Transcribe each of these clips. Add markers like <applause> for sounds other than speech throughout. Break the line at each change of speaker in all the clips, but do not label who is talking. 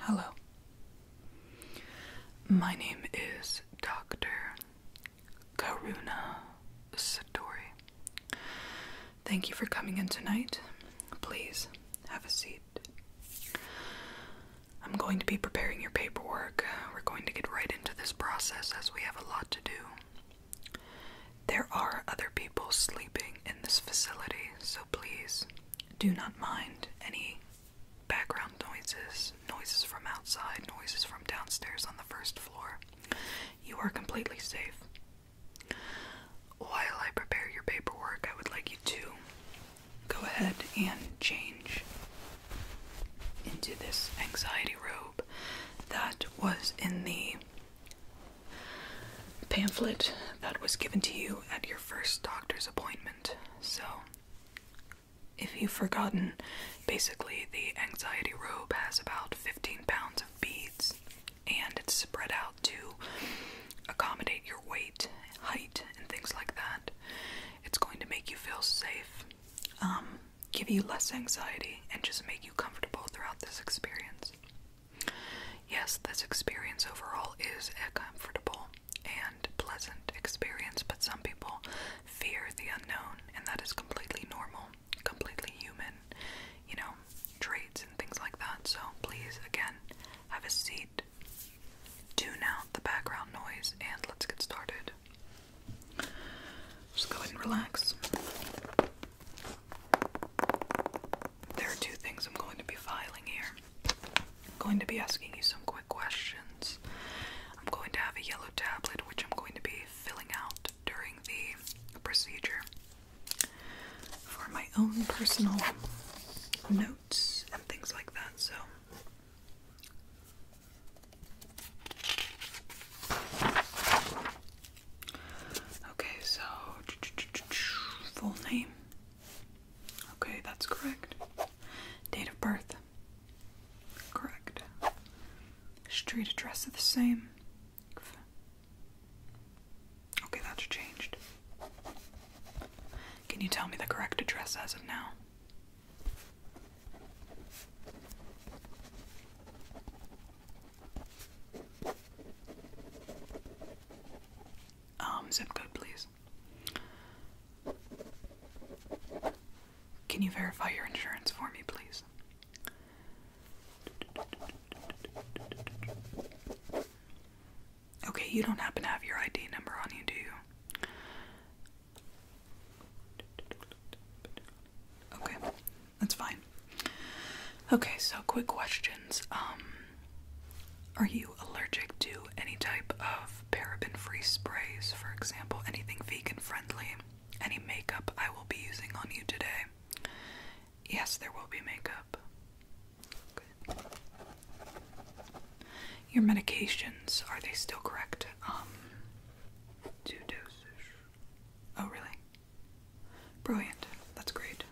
Hello. My name is Dr. Karuna Satori. Thank you for coming in tonight. Please have a seat. I'm going to be preparing your paperwork. We're going to get right into this process as we have a lot to do. There are other people sleeping in this facility, so please do not mind any background noises, noises from outside, noises from downstairs on the first floor. You are completely safe. While I prepare your paperwork, I would like you to go ahead and change into this anxiety robe that was in the pamphlet that was given to you at your first doctor's appointment. So, if you've forgotten, basically the anxiety robe has about 15 pounds of beads and it's spread out to accommodate your weight, height, and things like that. It's going to make you feel safe, um, give you less anxiety, and just make you comfortable throughout this experience. Yes, this experience overall is comfortable and pleasant experience, but some people fear the unknown, and that is completely normal, completely human, you know, traits and things like that. So please, again, have a seat, tune out the background noise, and let's get started. Just go ahead and relax there are two things I'm going to be filing here. I'm going to be asking you some quick questions. I'm going to have a yellow tablet which I'm going to be filling out during the procedure. For my own personal notes and things like that, so. Okay, so <tsk> full name, Okay, that's correct. Date of birth. Correct. Street address the same. Okay, that's changed. Can you tell me the correct address as of now? Um, zip code, please. Can you verify your insurance for me, please? Okay, you don't happen to have your ID number on you, do you? Okay, that's fine. Okay, so quick questions. Um are you allergic to any type of paraben free sprays, for example? Anything vegan friendly? Any makeup I will be using on you today? Yes, there will be makeup. Your medications, are they still correct? Um, two doses. Oh, really? Brilliant. That's great.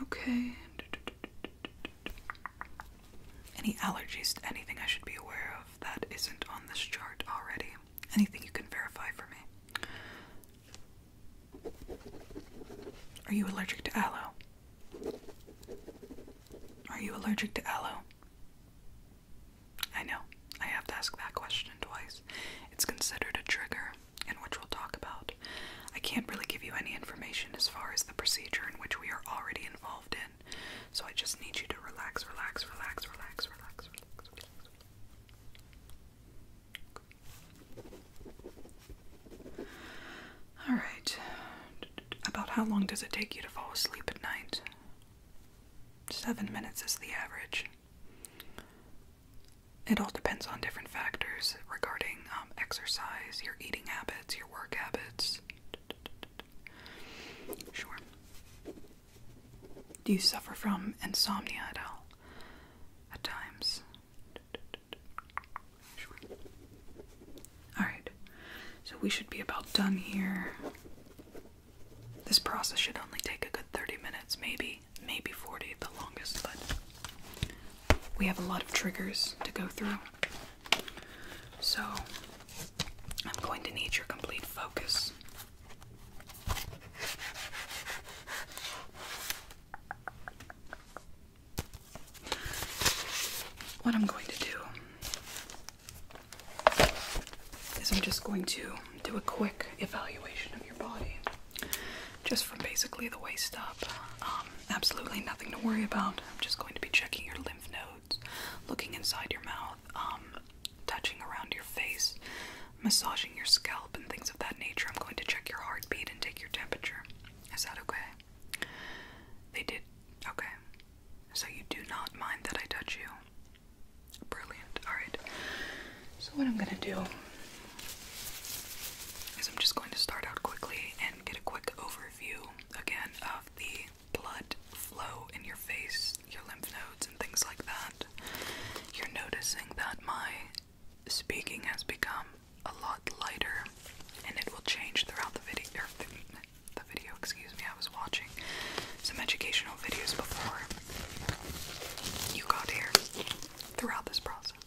Okay. Any allergies to anything I should be aware of that isn't on this chart already? Anything you can verify for me? Are you allergic to aloe? Are you allergic to aloe? I know. I have to ask that question twice. It's considered a trigger and which we'll talk about. I can't really give you any information as far as the procedure in which we are already involved in, so I just need you to relax, relax, relax, relax, relax, relax, relax. Okay. All right. About how long does it take you to fall asleep at night? Seven minutes is the average. It all depends on different factors regarding um, exercise, your eating habits, your work habits. Sure. Do you suffer from insomnia at all? At times? Sure. Alright, so we should be about done here. This process should only take a good 30 minutes, maybe, maybe 40 the longest, but we have a lot of triggers to go through. So I'm going to need your complete focus. What I'm going to do is I'm just going to do a quick evaluation of your body just from basically the waist up. Um, absolutely nothing to worry about. I'm just going to be checking your lymph nodes, looking inside your mouth, um, touching around your face, massaging your scalp, and things of that nature. I'm going to check your heartbeat and take your temperature. Is that okay? They did. Okay. So you do not mind that I touch you? Brilliant. Alright. So, what I'm gonna do is I'm just going to start out quickly and get a quick overview again of the blood flow in your face, your lymph nodes, and things like that. You're noticing that my speaking has become a lot lighter and it will change throughout the video. Er, the, the video, excuse me, I was watching some educational videos before you got here throughout this process awesome.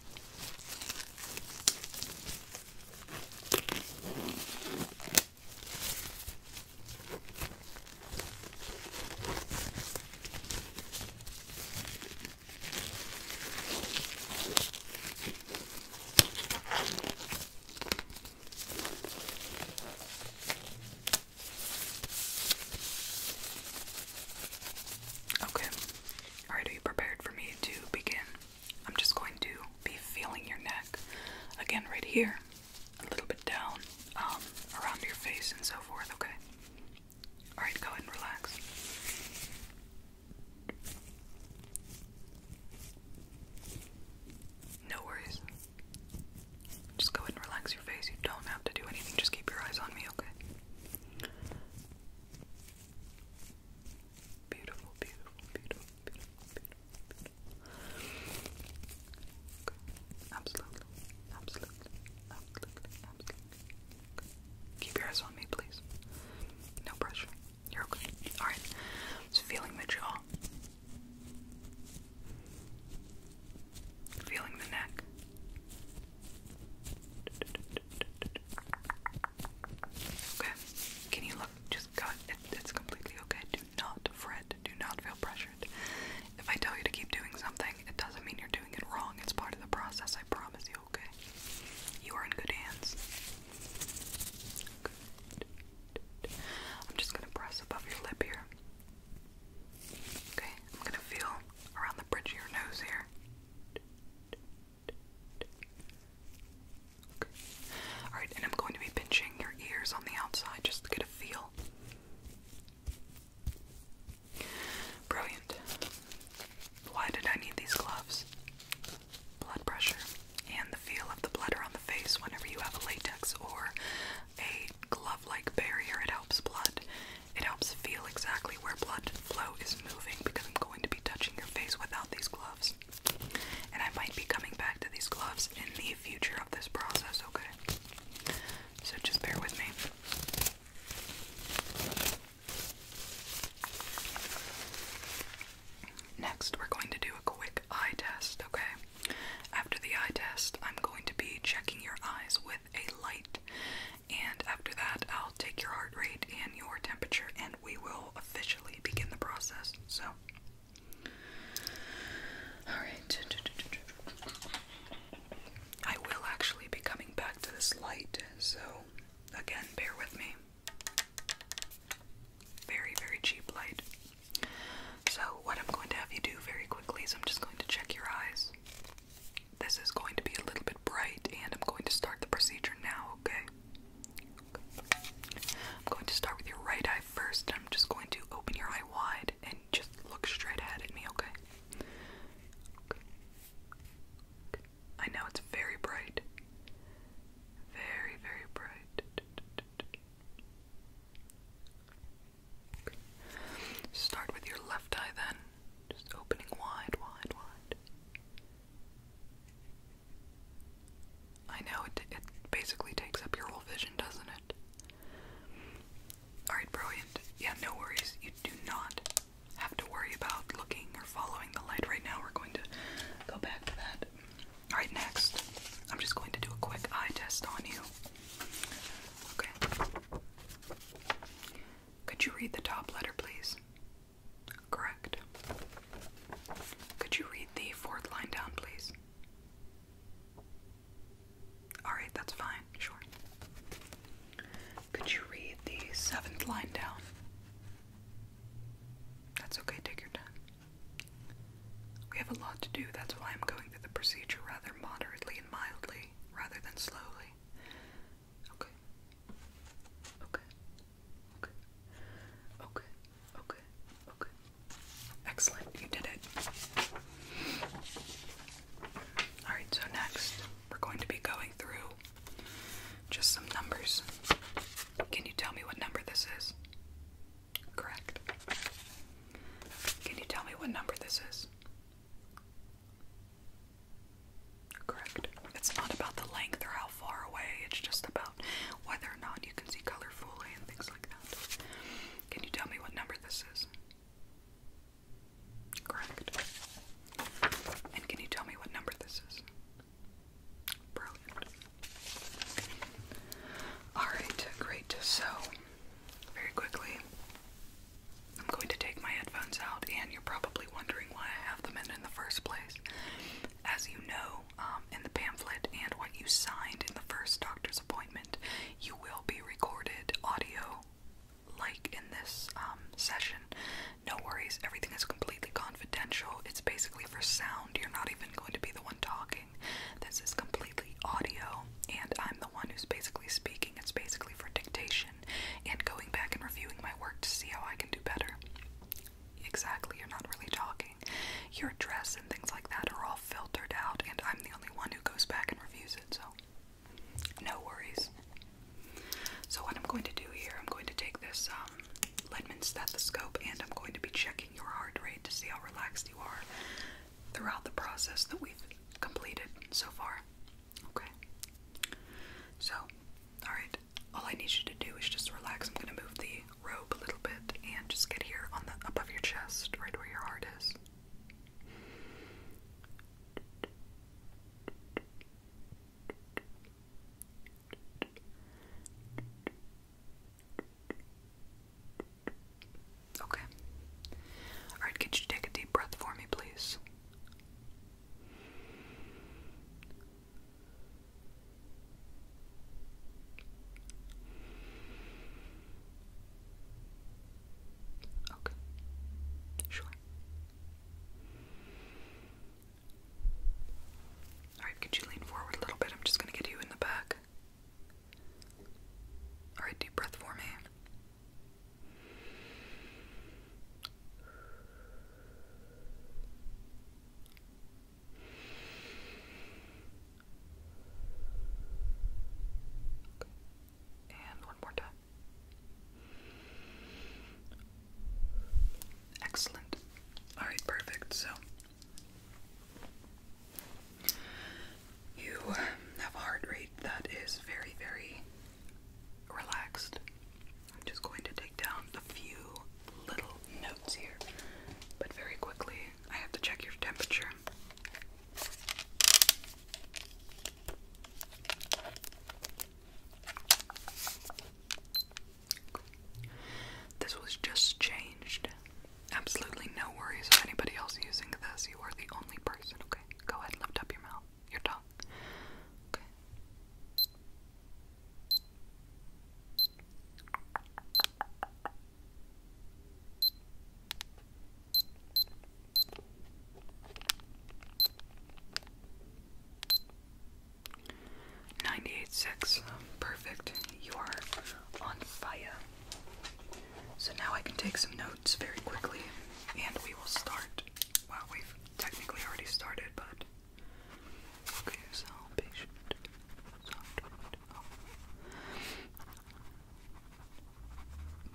Okay, Alright, are you prepared for me to begin? I'm just going to be feeling your neck. Again, right here, a little bit down, um, around your face and so forth, okay? Alright, go ahead and relax. No worries. Just go ahead and relax your face. You don't have to do anything, just keep your eyes on me, okay? Beautiful, beautiful, beautiful, beautiful, beautiful, beautiful. Absolutely, absolutely, absolutely, absolutely. Okay. Keep your eyes on me, please. No pressure. You're okay. Alright. Just feeling the jaw. Feeling the neck. Okay, can you look? Just cut. it's completely okay. Do not fret. Do not feel pressured. If I tell you to keep doing something, it doesn't mean you're doing it wrong. It's part of the process. I promise you. Okay, you are in good hands. I'm just gonna press above your lip here. Okay, I'm gonna feel around the bridge of your nose here. Alright, and I'm going to be pinching your ears on the outside just to get a feel. Brilliant. Why did I need these gloves? Blood pressure and the feel of the bladder on the face whenever you have a latex or a glove like barrier. It helps blood. It helps feel exactly where blood flow is moving because I'm going going to be touching your face without these gloves. And I might be coming back to these gloves in the future of this process, okay? So just bear with me. Next, we're going to do a quick eye test, okay? After the eye test, I'm going to be checking your eyes with a light. And after that, I'll take your heart rate and your temperature, and we will will officially begin the process. So, alright. I will actually be coming back to this light, so again, bear with me. Very, very cheap light. So, what I'm going to have you do very quickly is I'm just going to check your eyes. This is going to be a little bit bright, and I'm going to start the procedure now, okay? I'm going to start with your right eye first. I'm just going to open your eye wide and just look straight ahead at me, okay? I know it's very bright. Very, very bright. Start with your left eye then. Just opening wide, wide, wide. I know it, it basically takes up your whole vision, doesn't it? Alright, brilliant. Yeah, no worries. You do not have to worry about looking or following the light right now. We're going to go back to that. Alright, next, I'm just going to do a quick eye test on you. Okay. Could you read the top letter, please? Correct. Could you read the fourth line down, please? Alright, that's fine, sure. Could you read the seventh line down? That's okay, take your time. We have a lot to do, that's why I'm going through the procedure rather moderately and mildly, rather than slowly. Okay. Okay. Okay. Okay. Okay. Okay. Excellent. You did it. Alright, so next we're going to be going through just some numbers. Can you tell me what number this is? Correct. Can you tell me what number this is? Correct. It's not about the length or how far away, it's just about whether or not you can see colorfully and things like that. Can you tell me what number this is? Correct. And can you tell me what number this is? Brilliant. Alright, great. So, very quickly, I'm going to take my headphones out, and you're probably wondering why I have them in in the first place. As you know, um, in the pamphlet and what you signed in the first doctor's appointment, you will be recorded audio like in this um, session. No worries, everything is completely confidential. It's basically for sound. You're not even going to be the one talking. This is completely audio, and I'm the one who's basically speaking. It's basically for dictation and going back and reviewing my work to see how I can do better exactly you're not really talking. Your dress and things like that are all filtered out, and I'm the only one who goes back and reviews it, so no worries. So, what I'm going to do here, I'm going to take this um, stethoscope and I'm going to be checking your heart rate to see how relaxed you are throughout the process that we've completed so far. Okay. So, alright, all I need you to do is just relax. I'm going to move the rope a little bit and just get here on the up of your chest, right where your heart is. Okay. Alright, could you take a deep breath for me, please? Okay, sure. Alright, could you lean forward a little bit? I'm just gonna get you in the back. Alright, deep breath for me. And one more time. Excellent. All right, perfect. So you have a heart rate that is very, very relaxed. I'm just going to take down a few little notes here, but very quickly I have to check your temperature. This was just changed. Absolutely no worries of anybody else using this. You are the only person, okay? Go ahead, lift up your mouth, your tongue. Okay. Ninety-eight six, Perfect. You are on fire. So now I can take some notes very quickly and we will start. Well, we've technically already started, but Okay, so patient. So oh.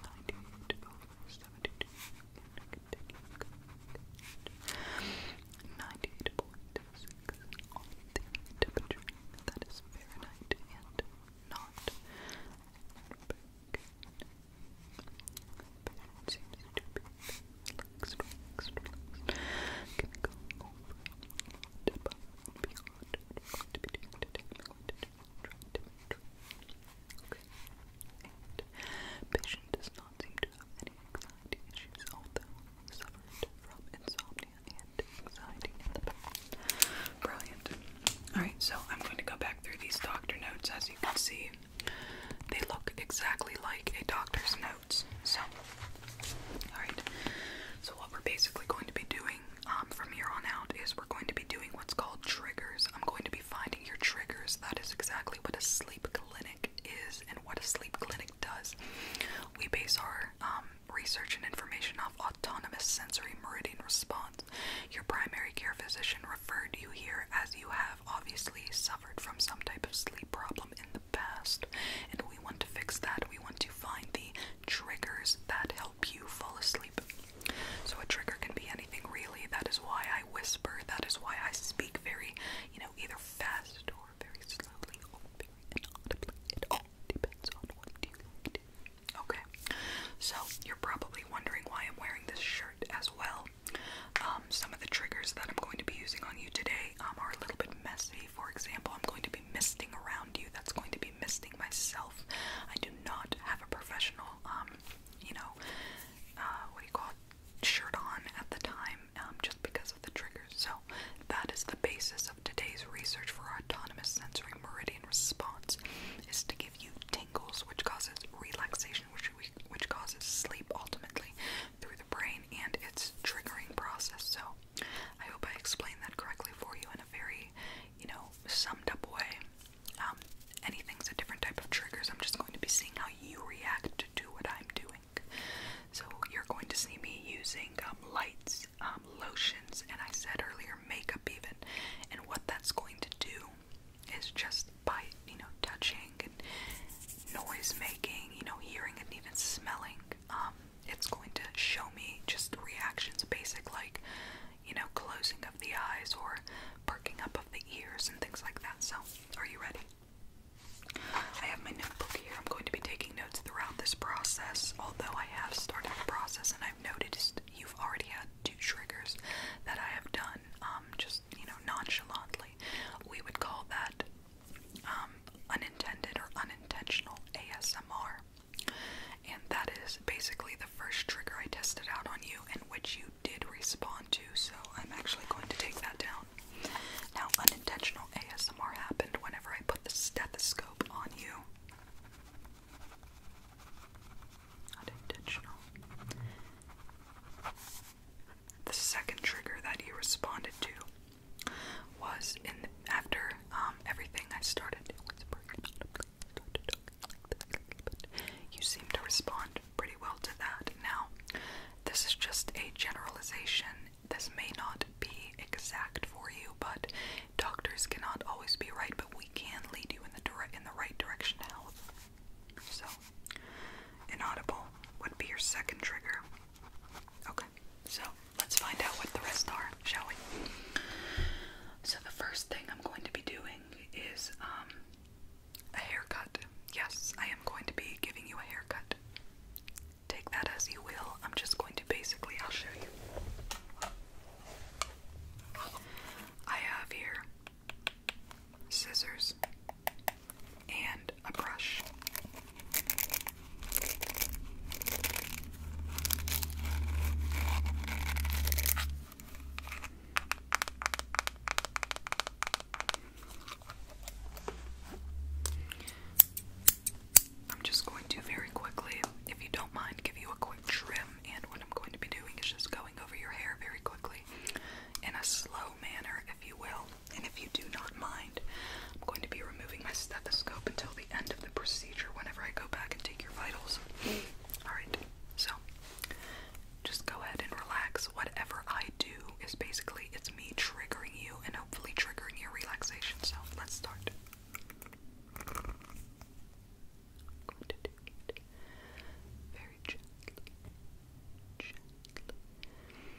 98 over 72. Ninety-eight point six on the temperature. That is Fahrenheit and not. Back patient does not seem to have any anxiety issues, although suffered from insomnia and anxiety Brilliant. Alright, so I'm going to go back through these doctor notes as you can see. They look exactly like a doctor's note. So, alright. So, what we're basically going to be doing um, from here on out is we're going to be doing what's called triggers. I'm going to be finding your triggers. That is exactly what a sleep clinic is and what a sleep clinic does. We base our um, research and information off autonomous sensory meridian response. Your primary care physician referred you here as you have obviously. Some from some type of sleep problem in the past, and we want to fix that. We want to find the triggers that help you fall asleep. So, a trigger can be anything really. That is why I whisper, that is why I speak very, you know, either fast or very slowly Okay, so you're probably wondering why I'm wearing this shirt as well. Um, some of the triggers that I'm going to be using on you today um, are a little bit messy for example, I'm going to be misting around you, that's going to be misting myself. I do not have a professional, um, you know, uh, what do you call shirt on at the time, um, just because of the triggers. So that is the basis of today's research for autonomous sensory meridian response, is to give you tingles, which causes relaxation, which which causes sleep ultimately through the brain and its triggering process. So I hope I explained that correctly for you in a very, you know, summed up way. Um, anything's a different type of triggers. I'm just going to be seeing how you react to what I'm doing. So you're going to see me using um, lights, um, lotions, and I said earlier makeup even. And what that's going to do is just by you know touching and noise making, you know, hearing and even smelling, um, it's going to show me just reactions basic like you know closing of the eyes or perking up of the ears and things like that. So, are you ready? I have my notebook here. I'm going to be taking notes throughout this process, although I have started the process and I've noticed you've already had two triggers that I have done um, just, you know, nonchalantly. We would call that um, unintended or unintentional ASMR. And that is basically the first trigger I tested out on you, and which you did respond to, so I'm actually going to take that down. Now, unintentional ASMR happened whenever I put the stethoscope on you. Unintentional. The second trigger that you responded to was in after um, everything I started you seem to respond pretty well to that. Now, this is just a generalization. This may not be exact for you, but doctors cannot always be right, but we can lead you in the in the right direction to health. So, inaudible would be your second trigger. Okay so let's find out what the rest are, shall we? So the first thing I'm going to be doing is um, a haircut. Yes, I am going to be giving you a haircut. Take that as you will. I'm just going to basically, I'll show you. I have here scissors and a brush. I'm just going to very quickly, if you don't mind, give you a quick trim. And what I'm going to be doing is just going over your hair very quickly in a slow manner, if you will. And if you do not mind, I'm going to be removing my stethoscope until the end of the procedure whenever I go back and take your vitals. Alright, so just go ahead and relax. Whatever I do is basically it's me triggering you and hopefully triggering your relaxation. So let's start. I'm going to do it very gently.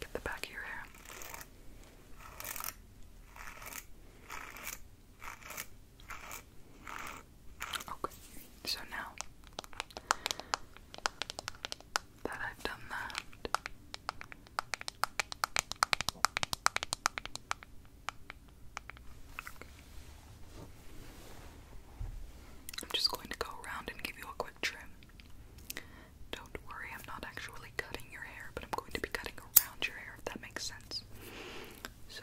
Get the back of your hair. Okay, so now that I've done that, I'm just going to go around and give you a quick trim. Don't worry, I'm not actually cutting your hair, but I'm going to be cutting around your hair if that makes sense. So.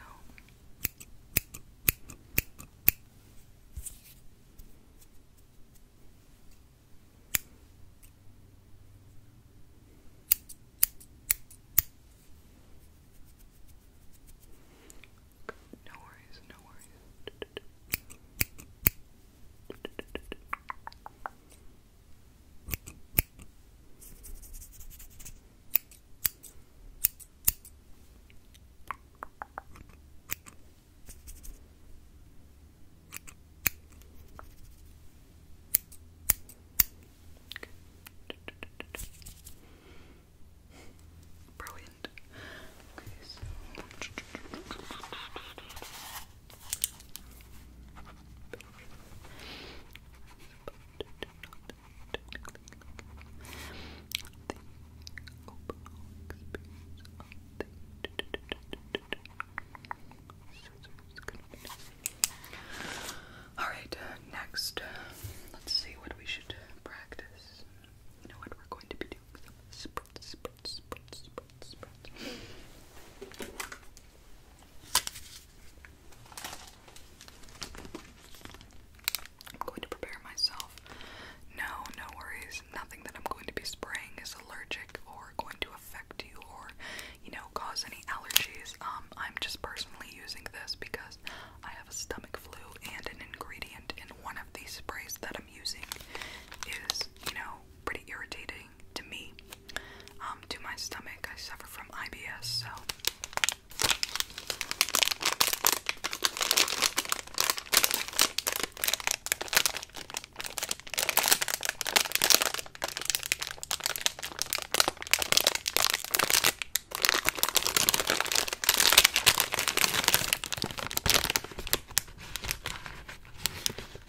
No worries, no worries. Brilliant. Okay, so all right, uh, next, uh, let's see what we should practice. You know what we're going to be doing? spritz, spritz, spritz, I'm going to prepare myself. No, no worries. Nothing that I'm going to be spraying is allergic or going to affect you or, you know, cause any allergies. Um, I'm just personally using this because I have a stomach flu and an ingredient in one of these sprays that I'm using is, you know, pretty irritating to me. Um, to my stomach, I suffer from IBS, so.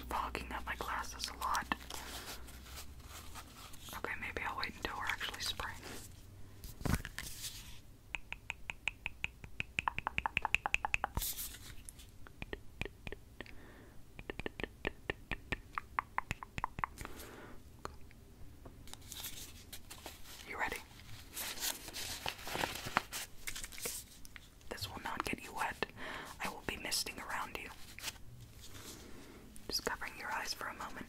I'm fogging up my glasses a lot. Okay, maybe I'll wait until we're actually spraying. You ready? This will not get you wet. I will be misting around you. Just covering your eyes for a moment.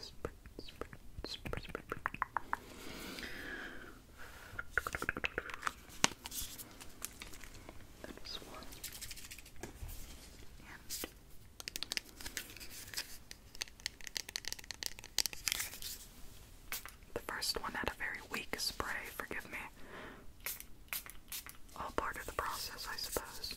Spray the first one had a very weak spray, forgive me. All part of the process, I suppose.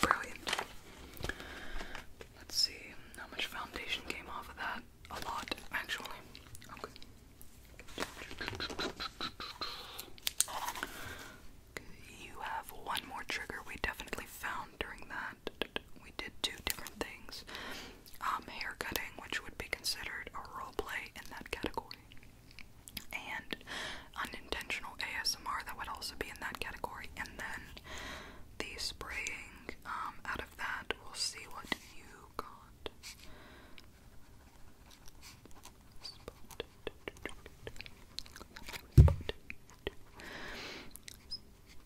Brilliant. Let's see how much foundation came off of that. A lot, actually. Okay. You have one more trigger we definitely found during that we did two different things. Um, hair cutting, which would be considered a role play in that category, and unintentional ASMR that would also be in that category, and then the spraying. Um, out of that, we'll see what you got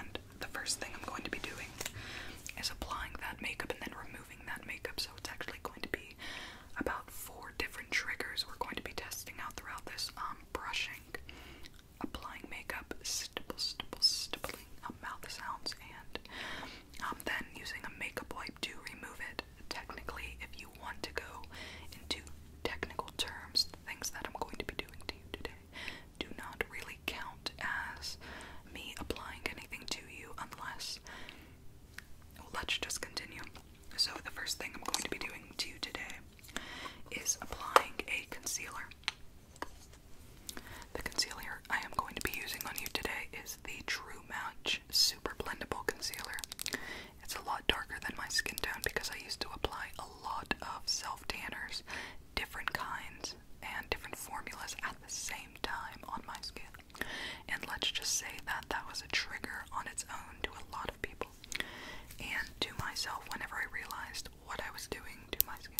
and the first thing I'm going to be doing is applying that makeup and then removing that makeup. So it's actually going to be about four different triggers we're going to be testing out throughout this. Um, brushing, applying makeup, stipple, stipple, stippling um, mouth sounds, and um, then using a makeup wipe to remove it. Technically, if you want to go into technical terms, the things that I'm going to be doing to you today do not really count as me applying anything to you unless. let's just continue. So, the first thing I'm going to be doing to you today is applying a concealer. The concealer I am going to be using on you today is the True Match Super Blendable Concealer. It's a lot darker than my skin tone because I used to apply a lot of self tanners different kinds and different formulas at the same time on my skin. And let's just say that that was a trigger on its own to a lot of people and to myself whenever I realized what I was doing to my skin.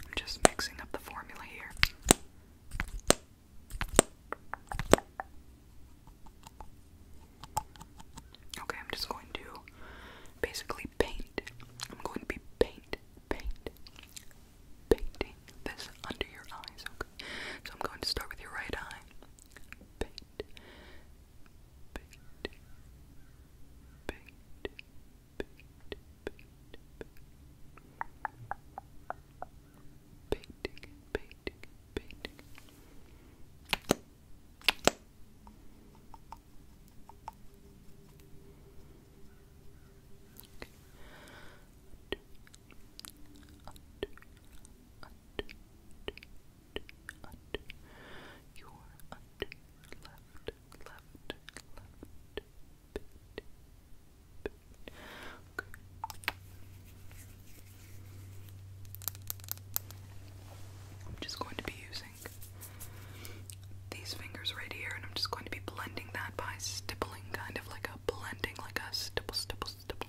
I'm just mixing up the formula here. Okay, I'm just going to basically paint. I'm going to be paint, paint, painting this under your eyes, okay? So I'm going to start with your right eye paint, paint, paint, paint, painting, painting, painting. Okay. I'm just going to be using these fingers right here, and I'm just going to be blending that by stippling, kind of like a blending, like a stipple, stipple, stipple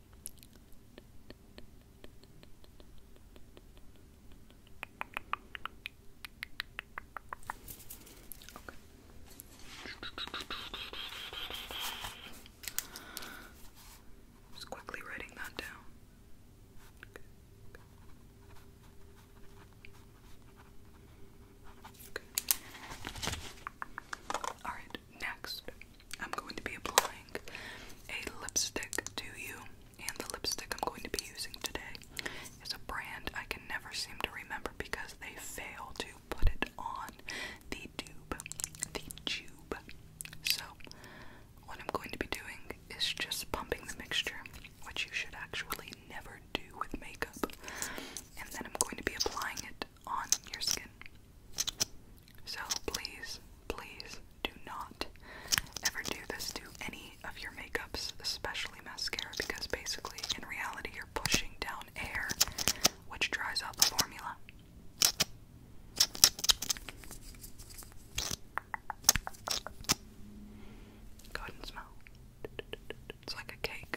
just quickly writing that down. All right next, I'm going to be applying a lipstick to you, and the lipstick I'm going to be using today is a brand I can never seem to remember because they fail to put it on the tube, the tube. So, what I'm going to be doing is just pumping the mixture, which you should actually never do with makeup, and then I'm going to be applying it on your skin. So please, please do not ever do this to any of your makeups, especially mascara, because basically, in reality, you're pushing down air, which dries out the formula. Go ahead and smell. It's like a cake.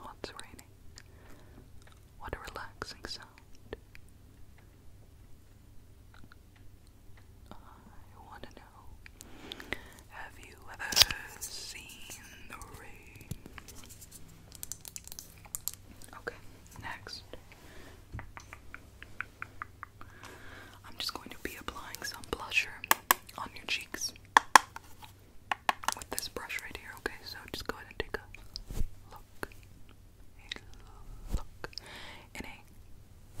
Oh, it's raining. What a relaxing sound. I want to know have you ever seen the rain? Okay, next. I'm just going to be applying some blusher on your cheeks with this brush right here, okay? So just go ahead and take a look. look. In a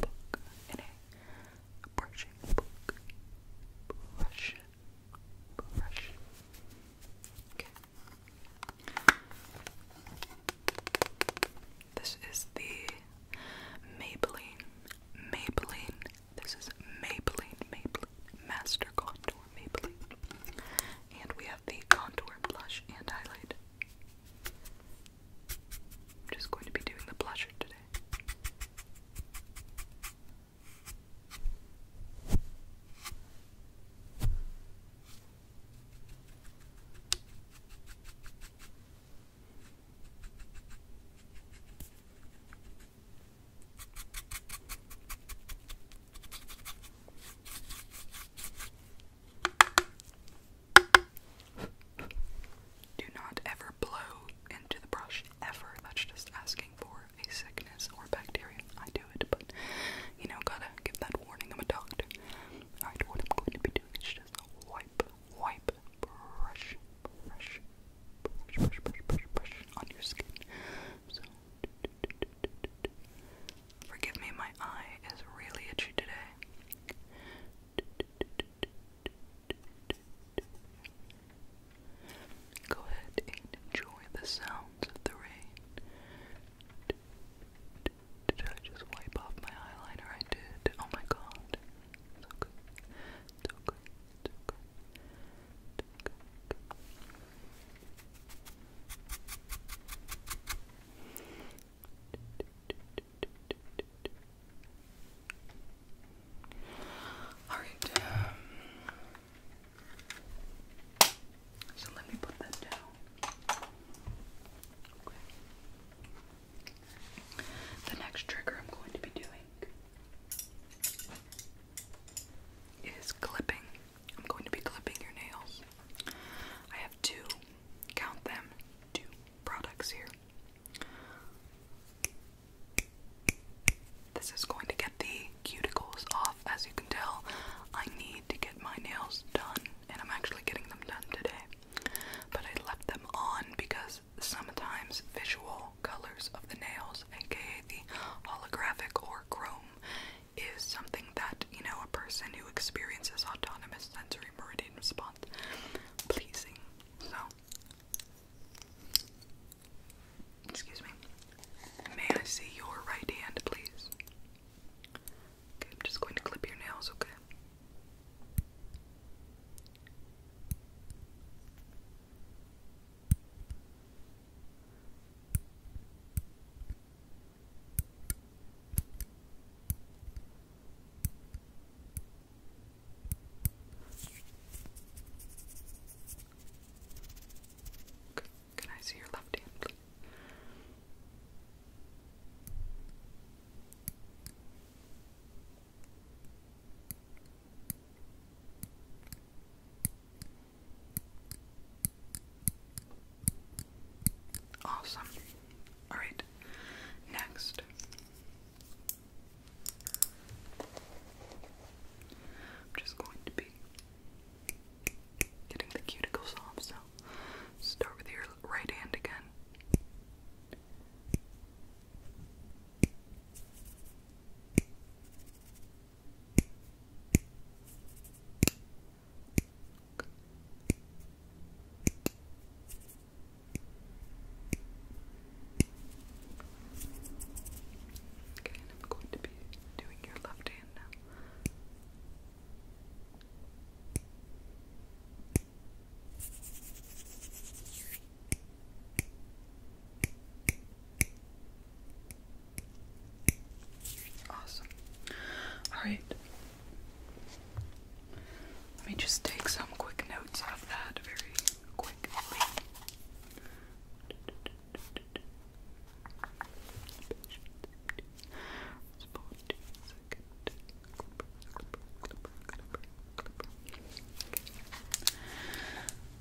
book. In a brushing Brush. Brush. Okay. This is the Maybelline Maybelline this is Maybelline, Maybelline Master Contour Maybelline. And we have the contour blush and highlight. I'm just going to be doing the blush today. Do not ever blow into the brush, ever. That's just asking for a sickness or bacteria. I do it, but you know, gotta give that warning. I'm a doctor. Alright, what I'm going to be doing is just wipe, wipe, brush, brush, brush, brush, brush, brush on your skin so forgive me, my eye is really itchy today. Go ahead and enjoy the sounds of the rain. Did I just wipe off my eyeliner? I did. Oh my god. It's okay. It's okay. It's okay. All right. Um, so let me put that down. The next trigger I'm going to be doing is clipping. I'm going to be clipping your nails. I have two, count them, two products here. This is going to get the cuticles off. As you can tell, I need to get my nails done, and I'm actually getting them done today. But I left them on because sometimes visual colors of the nails, aka the holographic or chrome, is something that, you know, a person who experiences autonomous sensory meridian response pleasing. So, excuse me, may I see your right hand, please? Okay, I'm just going to clip your nails, okay? Can I see your left hand, please? Awesome. Alright, next. I'm just going to be getting the cuticles off, so start with your right hand again. Okay, and I'm going to be doing your left hand now. Awesome. Alright. Let me just take some quick notes of that very quickly.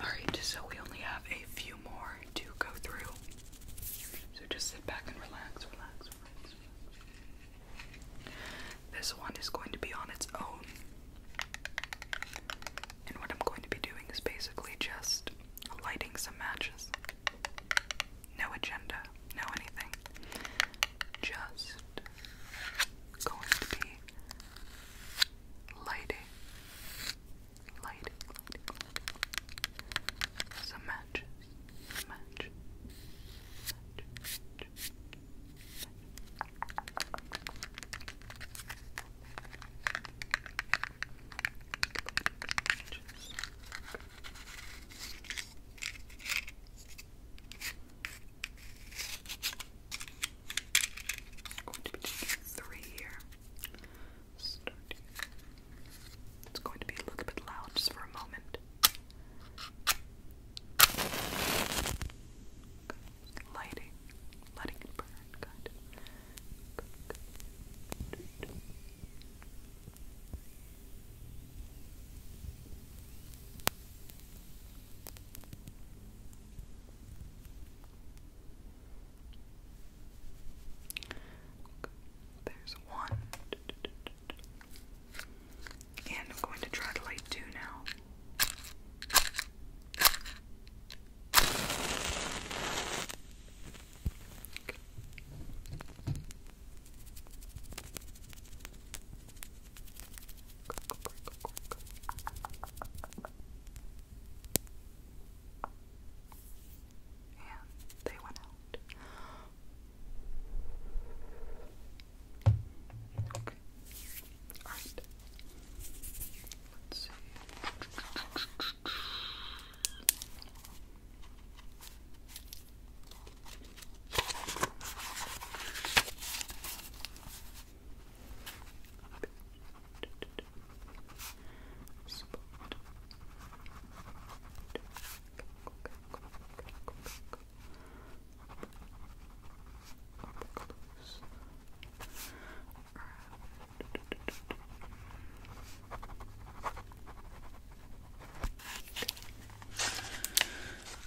Alright, so we only have a few more more go through. So just sit back and relax, relax, relax. This one is going to be on its own. And what I'm going to be doing is basically just lighting some matches. No agenda, no anything. Just going to be lighting lighting, lighting, Some matches, matches, I'm going to be three here starting. It's going to be a little bit loud just for a moment. Good. Lighting, letting burn. Good. Good. Good. There's one. And I'm going to try to light two now and they went out. Okay. Let's see. <laughs>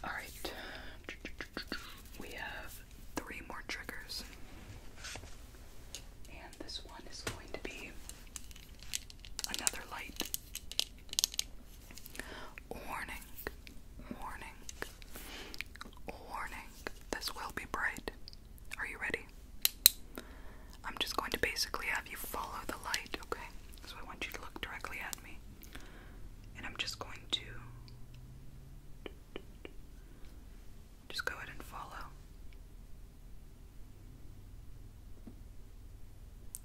All right, we have three more triggers. And this one is going to be another light. Warning, warning, warning. This will be bright. Are you ready? I'm just going to basically have you follow the light, okay? So I want you to look directly at me. And I'm just going to just go ahead and follow.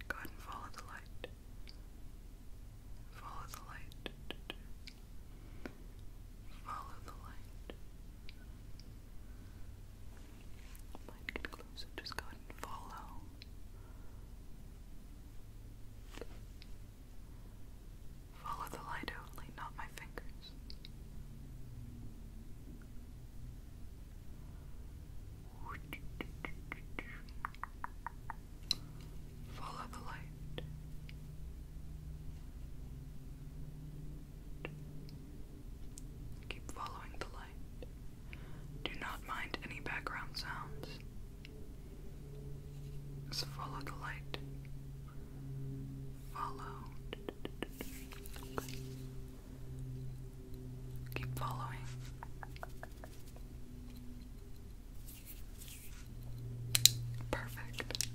Go ahead and follow the light. Follow the light. Follow the light. Might get closer. Just go ahead and follow. Follow the light only, not my fingers. Follow the light. Keep following the light. Do not mind any background sounds. Just follow the light. Follow Keep following. Perfect.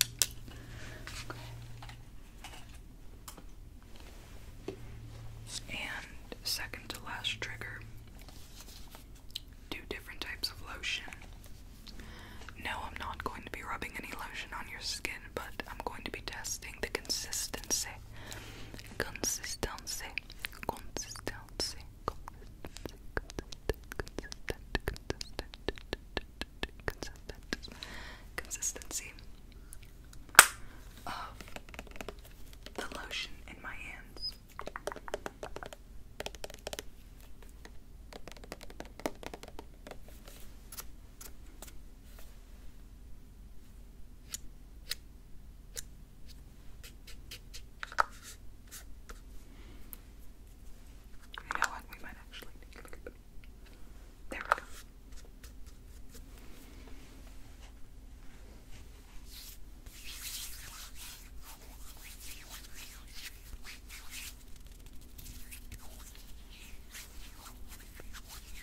And second to last trigger two different types of lotion. No, I'm not going to be rubbing any lotion on your skin, but I'm going to be testing the consistency, consistency, consistency, consistent, consistent, consistent, consistent, consistency of the lotion in my hands. You know what? We might actually There we go.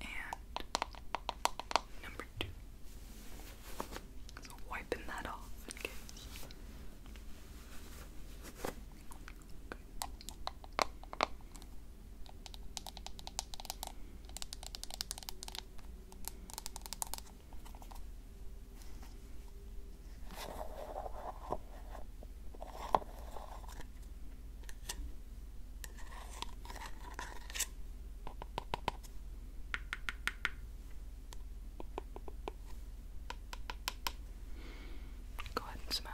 And number two. wiping that off Go ahead and smell.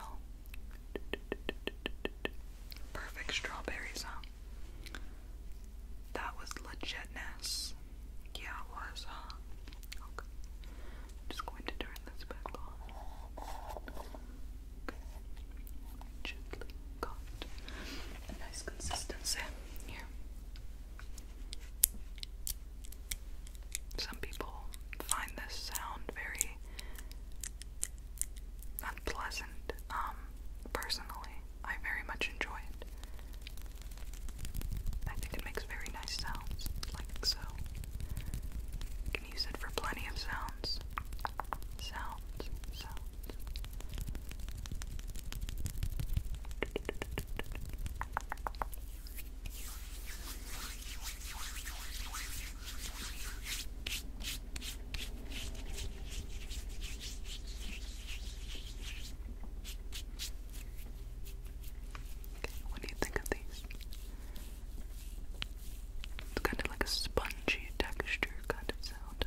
Perfect strawberry sound. That was legitness. Yeah, it was, uh, Okay. just going to turn this back on. Gently got a nice consistency here. Some people find this sound very unpleasant. Um, personally, I very much enjoy it. I think it makes very nice sounds, like so. You can use it for plenty of sounds. Sounds, sounds. Okay, what do you think of these? It's kind of like a spongy texture kind of sound.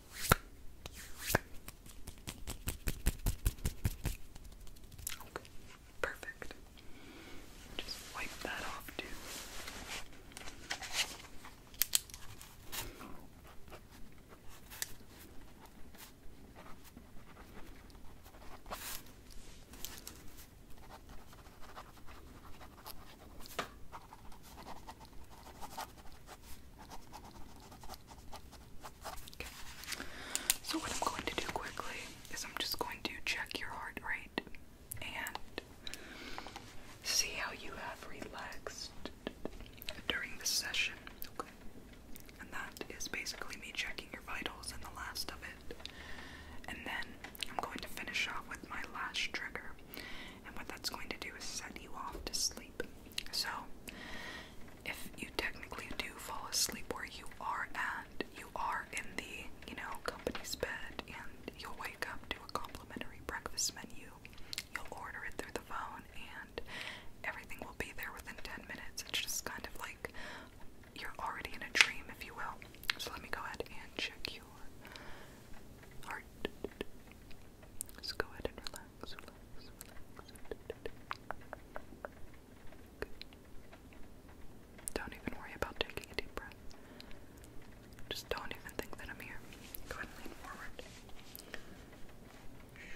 Okay, perfect. Just wipe that off, too. So what I'm going to do quickly is I'm just going to check your heart rate and see how you have relaxed during this session. Okay. And that is basically me checking your vitals and the last of it. And then I'm going to finish off with my last trigger. And what that's going to do is set you off to sleep. So, if you technically do fall asleep where you are and you are in the, you know, company's bed, and you'll wake up to a complimentary breakfast menu. You'll order it through the phone, and everything will be there within 10 minutes. It's just kind of like you're already in a dream, if you will. So, let me go ahead and check your heart. Just go ahead and relax, relax, relax. Don't even worry about taking a deep breath. Just don't even think that I'm here. Go ahead and lean forward. Okay, good.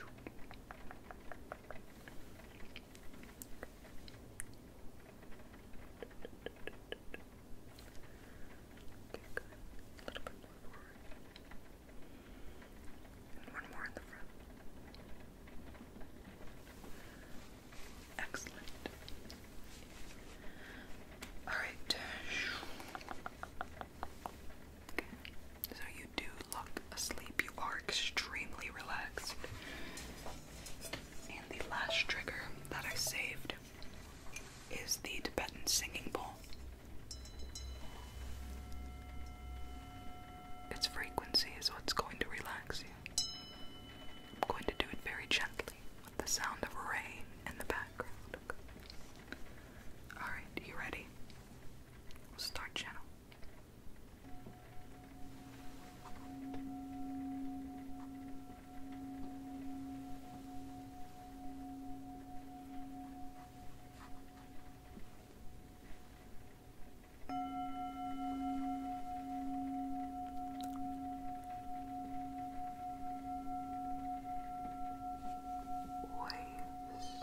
A little bit more one more in the front. Excellent. Alright. So you do look asleep. You are extremely relaxed. And the last trigger that I saved is the Tibetan singing bowl. Its frequency is what's going to relax you. I'm going to do it very gently with the sound of rain in the background. Okay. Alright, you ready? We'll start channel waves Waves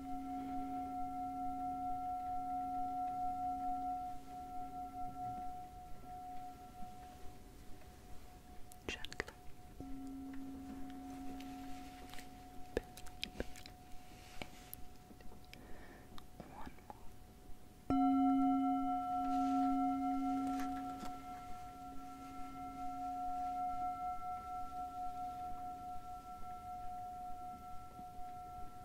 Gently. One more. Good.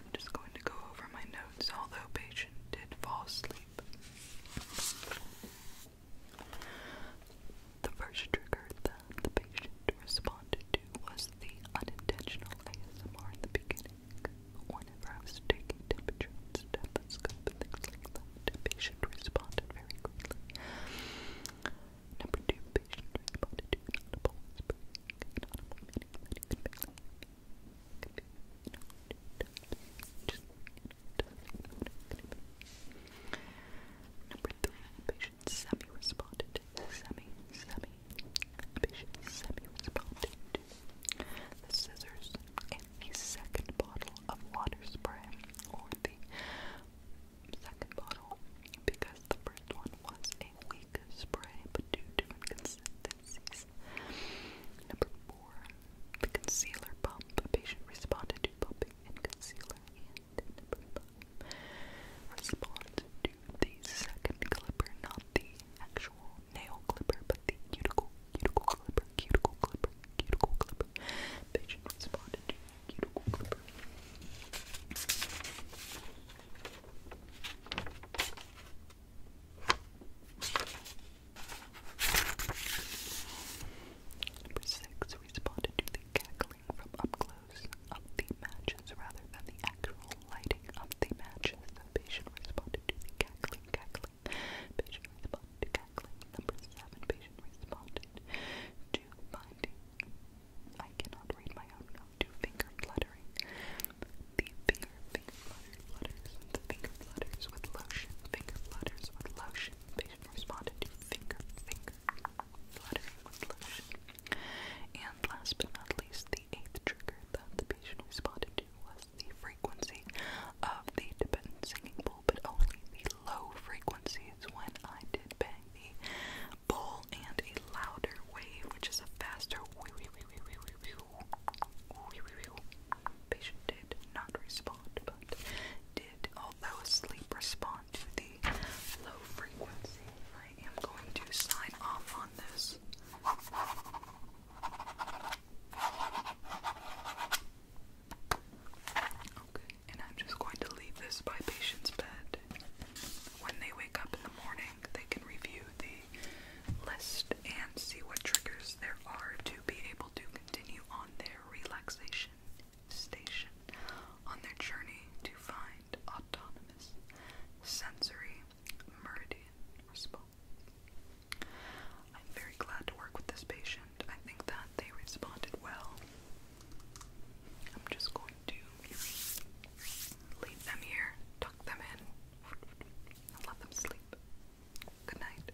I'm just going to go over my notes, although patient did fall asleep. The first trigger that the patient responded to was the unintentional ASMR in the beginning. Whenever I was taking temperature and stethoscope and things the patient responded very quickly. Number two, patient responded to audible whispering, Number three, patient semi responded. Semi, semi. Patient semi responded to the scissors and the second bottle of water spray, or the second bottle, because the first one was a weak spray, but due to inconsistencies. Number four, the concealer pump. The patient responded to pumping and concealer and blah. Respond to the second clipper, not the actual nail clipper, but the cuticle, cuticle clipper, cuticle clipper, cuticle clipper. Patient responded to cuticle clipper. Number six, responded to the cackling from up close of the matches rather than the actual lighting of the matches. patient responded to the cackling, cackling. Patient responded to cackling. Number seven, patient responded to finding. I cannot read my own note. To finger fluttering. The finger, finger flutter, flutters. The finger flutters with lotion. Finger flutters with lotion lotion. Patient responded to finger, finger, fluttering with lotion. And last but not least, the eighth trigger that the patient responded to was the frequency of the dependent singing bowl, but only the low frequencies when I did bang the bowl and a louder wave, which is a faster wee wee wee wee wee wee wee wee wee wee wee wee patient did not respond, but did, although asleep, respond to the low frequency. I am going to sign off on this. Okay, and I'm just going to leave this by patient's bed. When they wake up in the morning, they can review the list and see what triggers there are to be able to continue on their relaxation station on their journey to find autonomous sensory meridian response. I'm very glad to work with this patient. I think that they responded well. I'm just going to leave them here, tuck them in, and let them sleep. Good night.